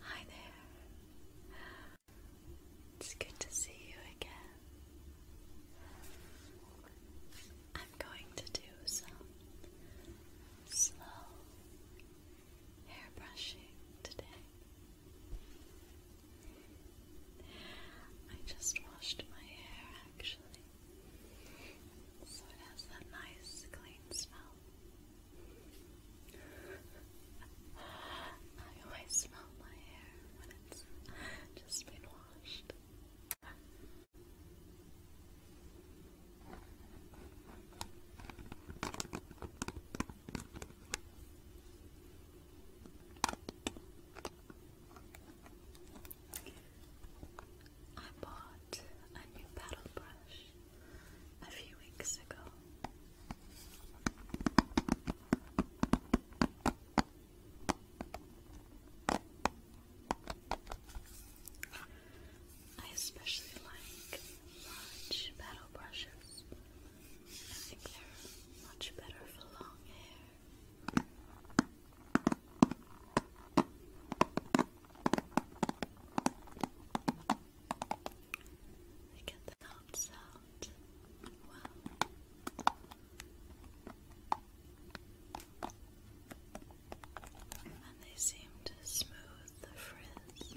Hi there. It's good to see you again. I'm going to do some slow hair brushing today. I just washed my hair actually, so it has that nice clean smell. I always smell my hair when it's just been washed. I bought a new paddle brush a few weeks ago. I especially like large paddle brushes. I think they're much better for long hair. We get the knobs out. And they seem to smooth the frizz.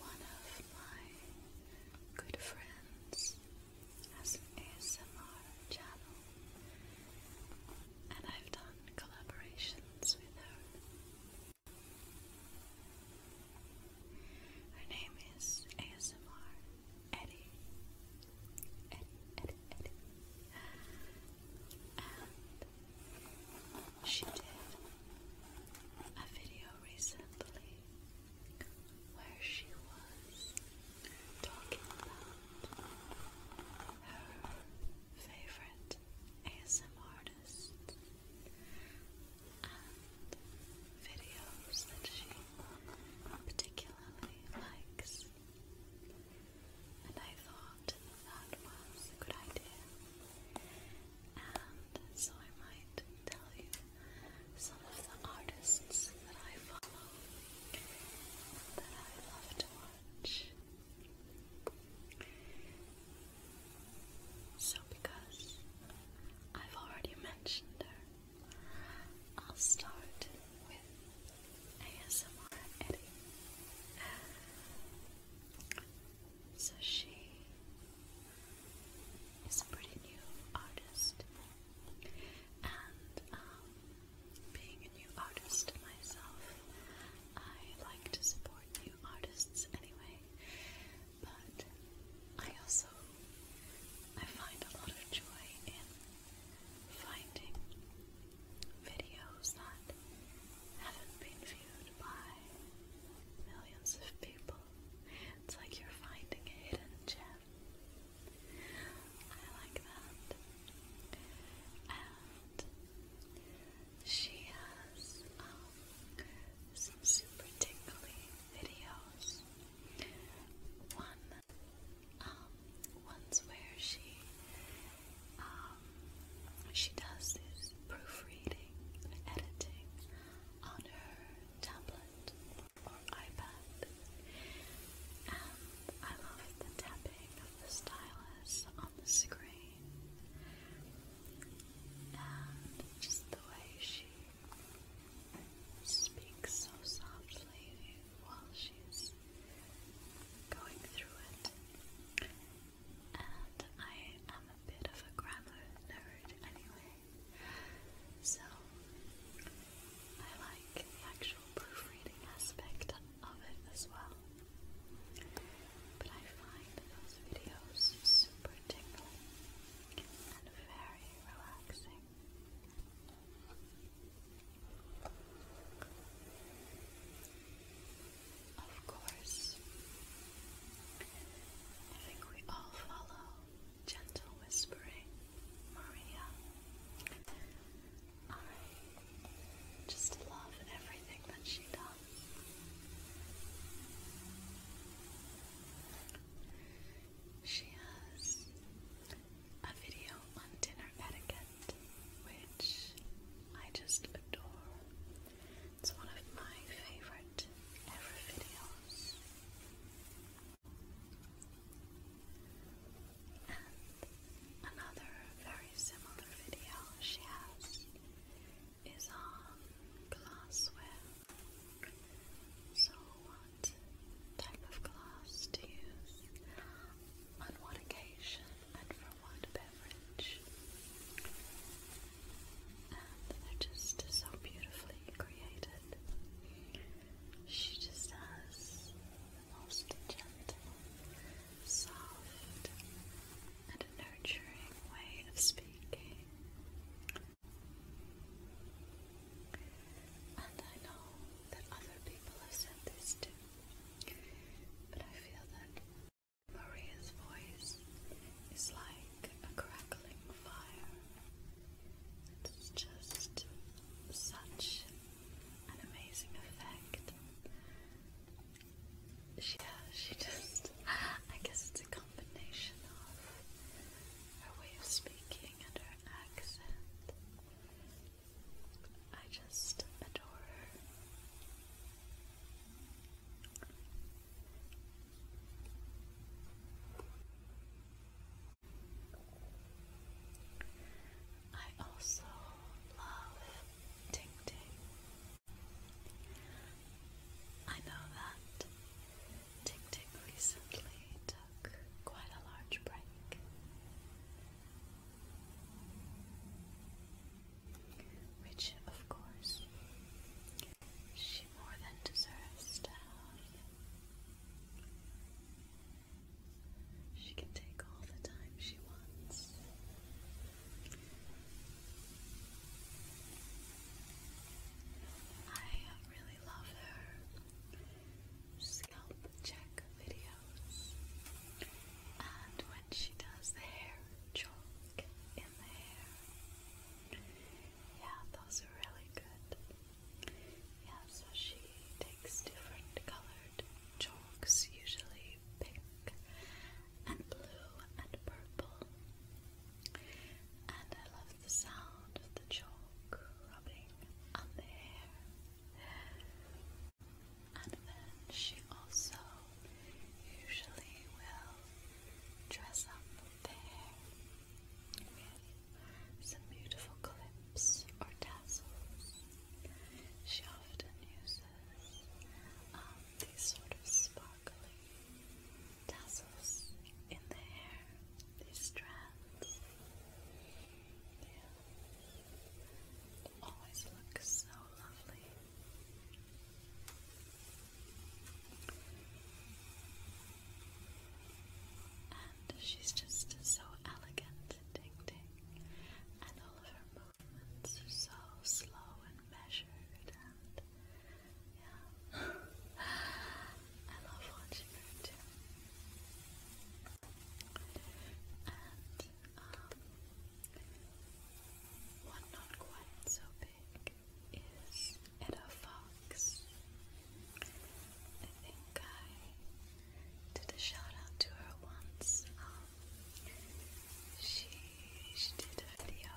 One of my good friends has an ASMR channel, and I've done collaborations with her. Her name is ASMR Eddie. She did a video recently where she was talking about her favorite ASM artists and videos that she particularly likes. And I thought that was a good idea and so I might tell you some of the artists that I follow that I love to watch. So, because I've already mentioned her, I'll start with ASMR Eddie. So she is a pretty new artist. And um, being a new artist myself, I like to support new artists anyway. But I also I find a lot of joy in finding videos that haven't been viewed by millions of people. It's like you're finding a hidden gem. I like that. And she has um, some super tingly videos. One, um, one's where she uh, she does this proofreading and editing on her tablet or iPad, and I love the tapping of the stylus on the screen, and just the way she speaks so softly while she's going through it and I am a bit of a grammar nerd anyway, so I like the actual proofreading aspect of it as well. But I find those videos super tingling and very relaxing. Of course. I think we all follow gentle whispering, Maria. I just love everything that she does. She has a video on dinner etiquette, which I just adore. It's one of my favorite ever videos. And another very similar video she has is on glassware. So, what type of glass to use, on what occasion, and for what beverage. And they're just so beautifully created. She just has the most gentle, soft, and nurturing way of speaking. And I know that other people have said this too, but I feel that Maria's voice is like a crackling fire. It's just such an amazing effect. She, uh, she just, I guess it's a combination of her way of speaking and her accent. I just adore her. I also love Ting Ting. I know that Ting Ting recently took quite a large break which, of course, she more than deserves to have. She can take all the time she wants. I really love her scalp check videos. And when she does the hair, chalk in the hair, yeah, those are really good. Yeah, so she takes different colored chalks, usually pink and blue and purple. And I love the sound of the chalk rubbing on the hair. And then she also usually will dress up the hair with some beautiful clips or tassels. She often uses um, these sort of sparkly tassels in the hair, these strands. always looks so lovely and she's just so elegant, Ting Ting, and all of her movements so slow and measured, and yeah, I love watching her too. And um, one not quite so big, is it fox? I think I did a shout out to her once. Um, she she did a video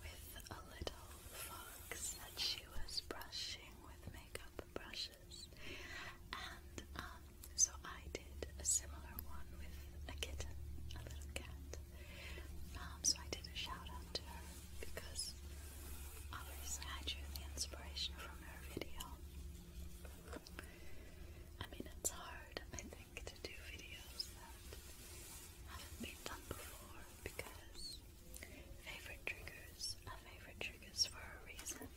with a little fox that she was brushing with makeup brushes, and um, so I did a similar one with a kitten, a little cat, um, so I did a shout to her because obviously I drew the inspiration from her video. I mean, it's hard, I think, to do videos that haven't been done before because favorite triggers are favorite triggers for a reason.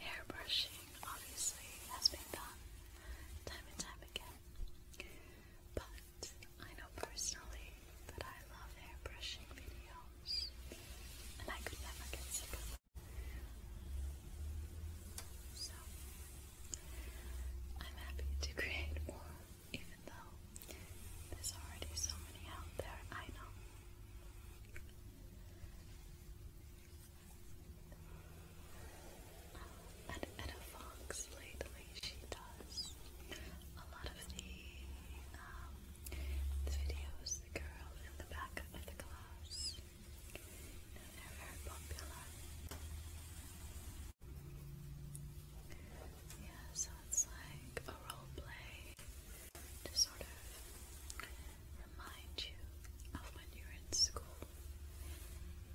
Hair brushing obviously has been done time and time again. But I know personally that I love airbrushing videos, and I could never get sick of them. So, I'm happy to create more, even though there's already so many out there, I know and Edda Fox lately, she does a lot of um, the, videos, the girl in the back of the class. You they're very popular. Yeah, so it's like a role play to sort of remind you of when you were in school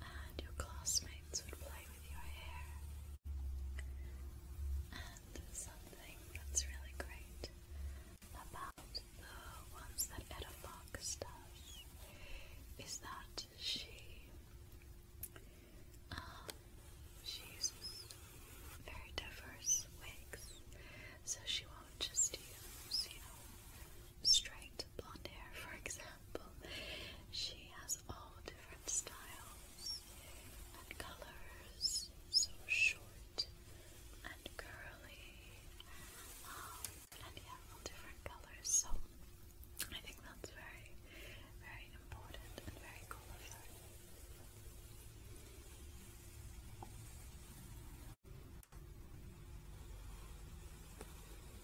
and your classmates would play with your hair. And something that's really great about the ones that Etta Fox does is that she um, she uses very diverse wigs, so she won't just use, you know, straight blonde hair, for example, she has all different styles and colors. So short and curly, um, and yeah, all different colors. So I think that's very, very important and very cool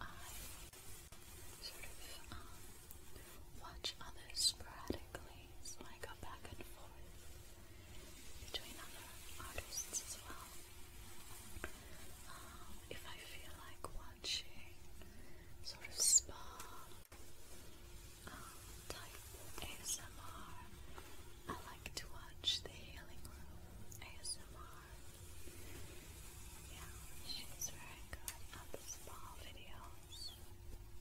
I sort of um, watch others sporadically, so I go back and forth between other artists as well. Um, if I feel like watching sort of spa um, type ASMR, I like to watch the Healing Room ASMR. Yeah, she's very good at the spa videos.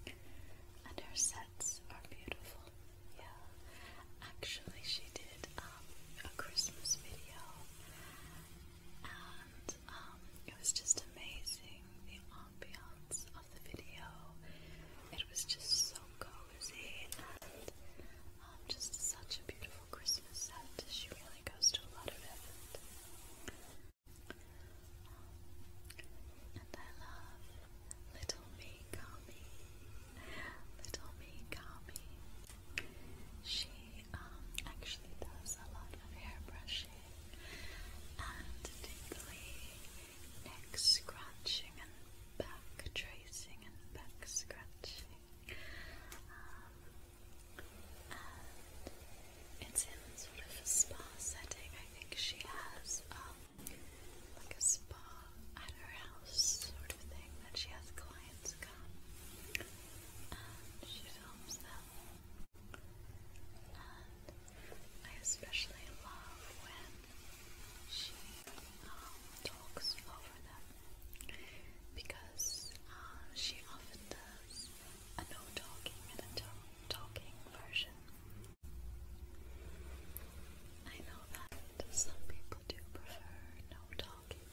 And um, her sets are beautiful. Yeah. Actually she did a Christmas video and um, it was just amazing the ambiance of the video. It was just so cozy um, just such a beautiful Christmas set. She really goes to a lot of effort. Um, and I love Little Mikami. Little Mikami. She um, actually does a lot of hair brushing and tingly neck scratching and back tracing and back scratching. Um, and uh, it's in sort of a spa setting. I think she has um, like a spa at her house sort of thing that she has clients come. she films them. I especially love when she um, talks for because um, she often does a no talking and a talking version. I know that some people do prefer no talking,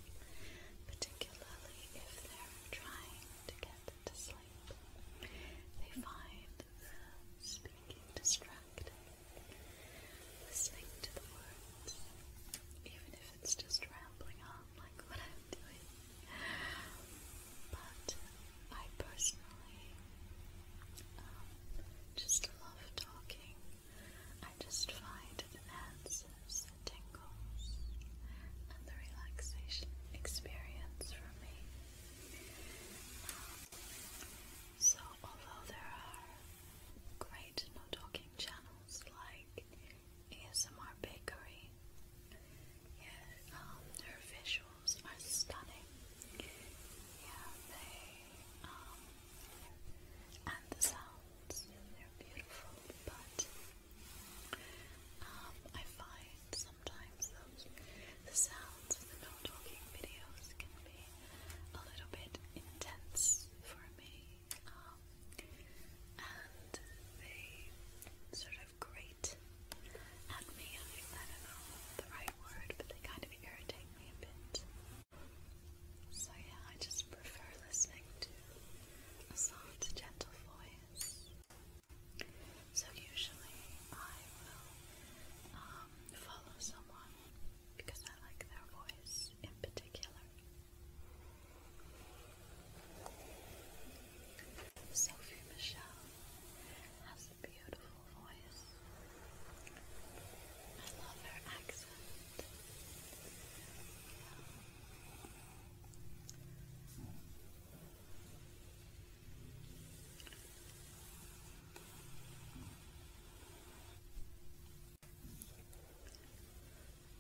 particularly if they're trying to get to sleep. They find speaking distracting. Listening to the words, even it's just rambling on like what I'm doing. But I personally um, just love talking. I just find it enhances the tingles and the relaxation experience for me. Um, so although there are great no talking channels, channels like ASMR Bakery. Yeah, um, their visuals are stunning. Yeah, they, um, and the sounds, they're beautiful, but um, I find sometimes those, the sounds of the no talking videos can be a little bit intense for me and they sort of grate at me. I, don't know the right word, but they kind of irritate me a bit. So yeah, I just prefer listening to a soft, gentle voice. So usually I will um, follow someone because I like their voice in particular. Sophie Michelle has a beautiful voice. I love her accent.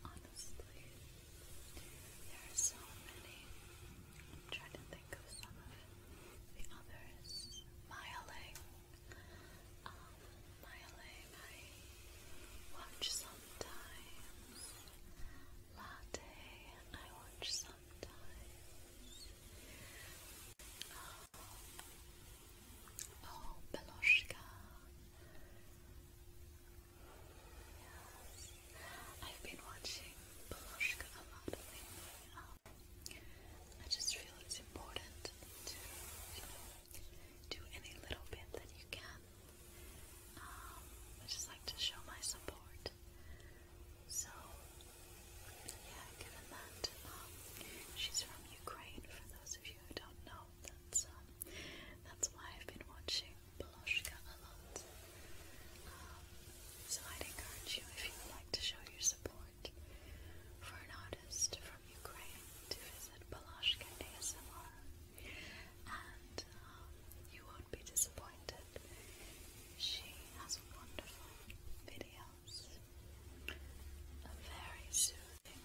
Honestly, there are so many. I'm trying to think of some of the others. Myling. Um, Myling I watch sometimes. Latte I watch sometimes. Um, Oh, Beloshka. Yes. I've been watching Beloshka a lot um, I just feel it's important to, do any little bit that you can. Um, I just like to show my support. So, yeah, given that um, she's from Ukraine, for those of you who don't know, that's um, that's why I've been watching Beloshka a lot. Um, so I'd encourage you if you would like to show your support for an artist from Ukraine to visit Beloshka ASMR, and um, you won't be disappointed. She has wonderful videos, a very soothing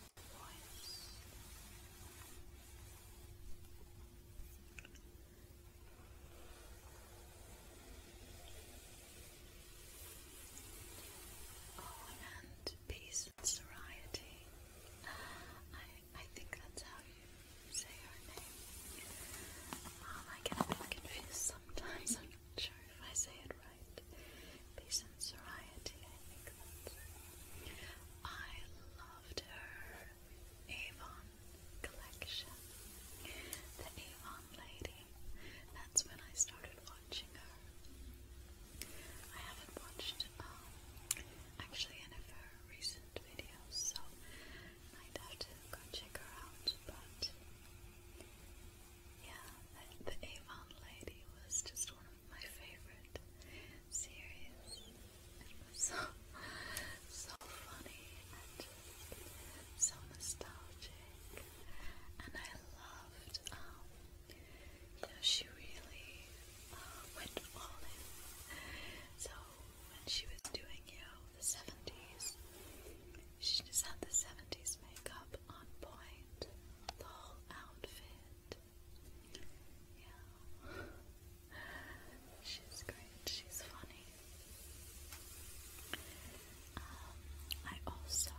Oh, and peace and serenity. I I think that's how you say her name. Um, I get a bit confused sometimes. I'm not sure if I say it right peace and I think that's loved her Avon collection. The Avon lady. That's when I started watching her. I haven't watched um, actually any of her recent videos, so might have to go check her out, but yeah, the Avon lady was just one of my favorite series. so, so funny and so nostalgic, and I loved. Um, you know, she really uh, went all in. So when she was doing, you the seventies, she just had the seventies makeup on point, the whole outfit. Yeah. She's great. She's funny. Um, I also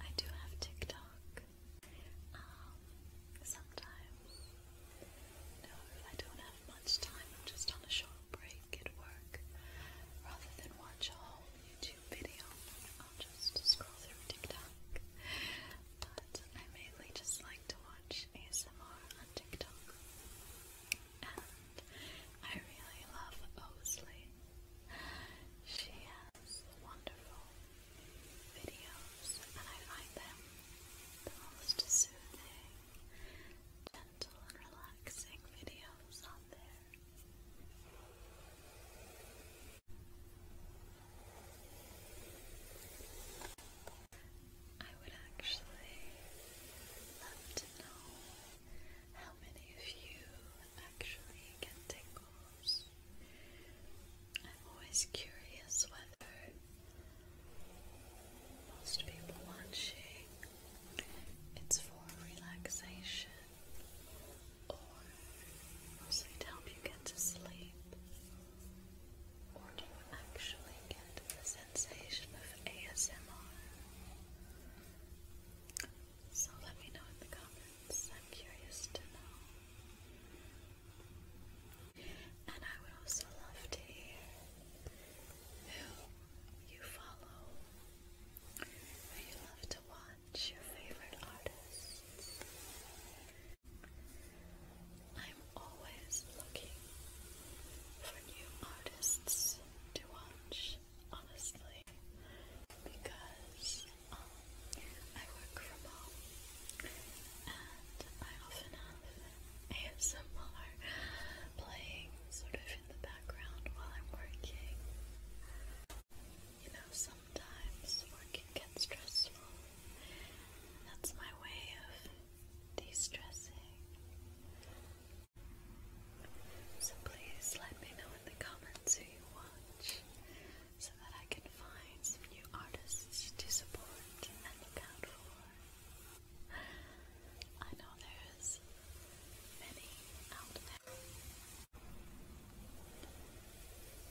I do have TikTok. Um, sometimes you I don't have much time, I'm just on a short break at work rather than watch a whole YouTube video i just scroll through TikTok. But I mainly just like to watch ASMR on TikTok. And I really love Osley. She has wonderful videos, and I find them the most soothing, gentle, and relaxing videos on there. I would actually love to know how many of you actually get tingles. I'm always curious whether most people shake it's for relaxation or mostly to help you get to sleep. Or do you actually get the sensation of ASMR? So let me know in the comments. I'm curious to know. And I would also love to hear who you follow, who you love to watch, your favorite artists. I'm always looking for new artists to watch, honestly, because um, I work from home and I often have ASMR playing sort of in the background while I'm working. You know, sometimes work can get stressful. That's my way of de stressing. So please let me know in the comments who you watch so that I can find some new artists to support and look out for. I know there's many out there.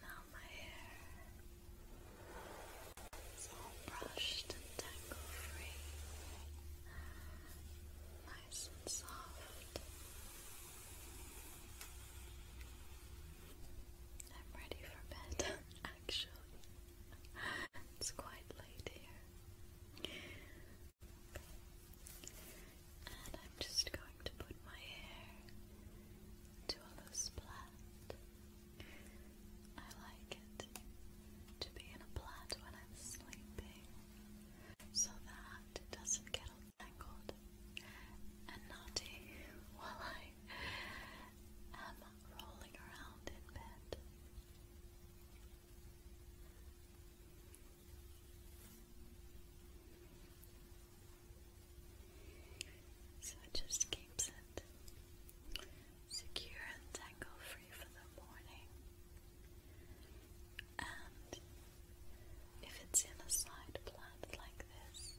Now my hair is all brushed and tangle free, nice and soft. I'm ready for bed, actually. It's quite late here. And I'm just going to put my hair to a loose plait. I like it to be in a plait when I'm sleeping so that it doesn't get all tangled and naughty while I am rolling around in bed. So it just keeps it secure and tangle free for the morning. And if it's in a side plant like this,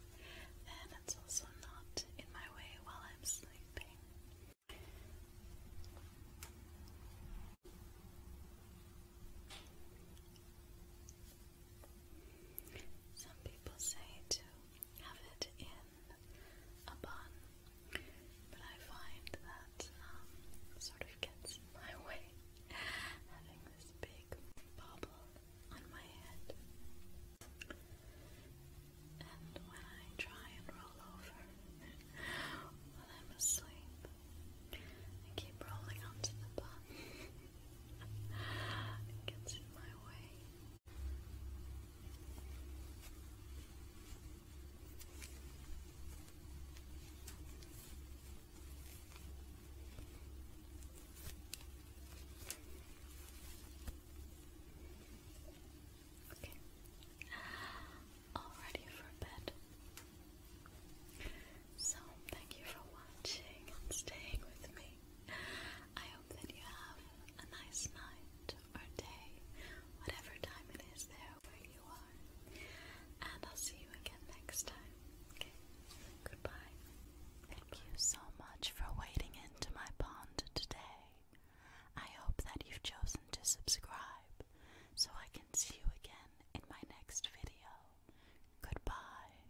then it's also not in my way while I'm sleeping. Some people say to have it in a bun, but I find that um, sort of gets in my way having this big bobble on my head. And when I try and roll over while I'm asleep, I keep rolling onto the bun. it gets in my way. Okay. All ready for bed. So, thank you for watching staying with me. I hope that you have a nice night or day, whatever time it is there where you are. And I'll see you again next time. Okay? Goodbye. Thank you so much for wading into my pond today. I hope that you've chosen to subscribe so I can see you again in my next video. Goodbye.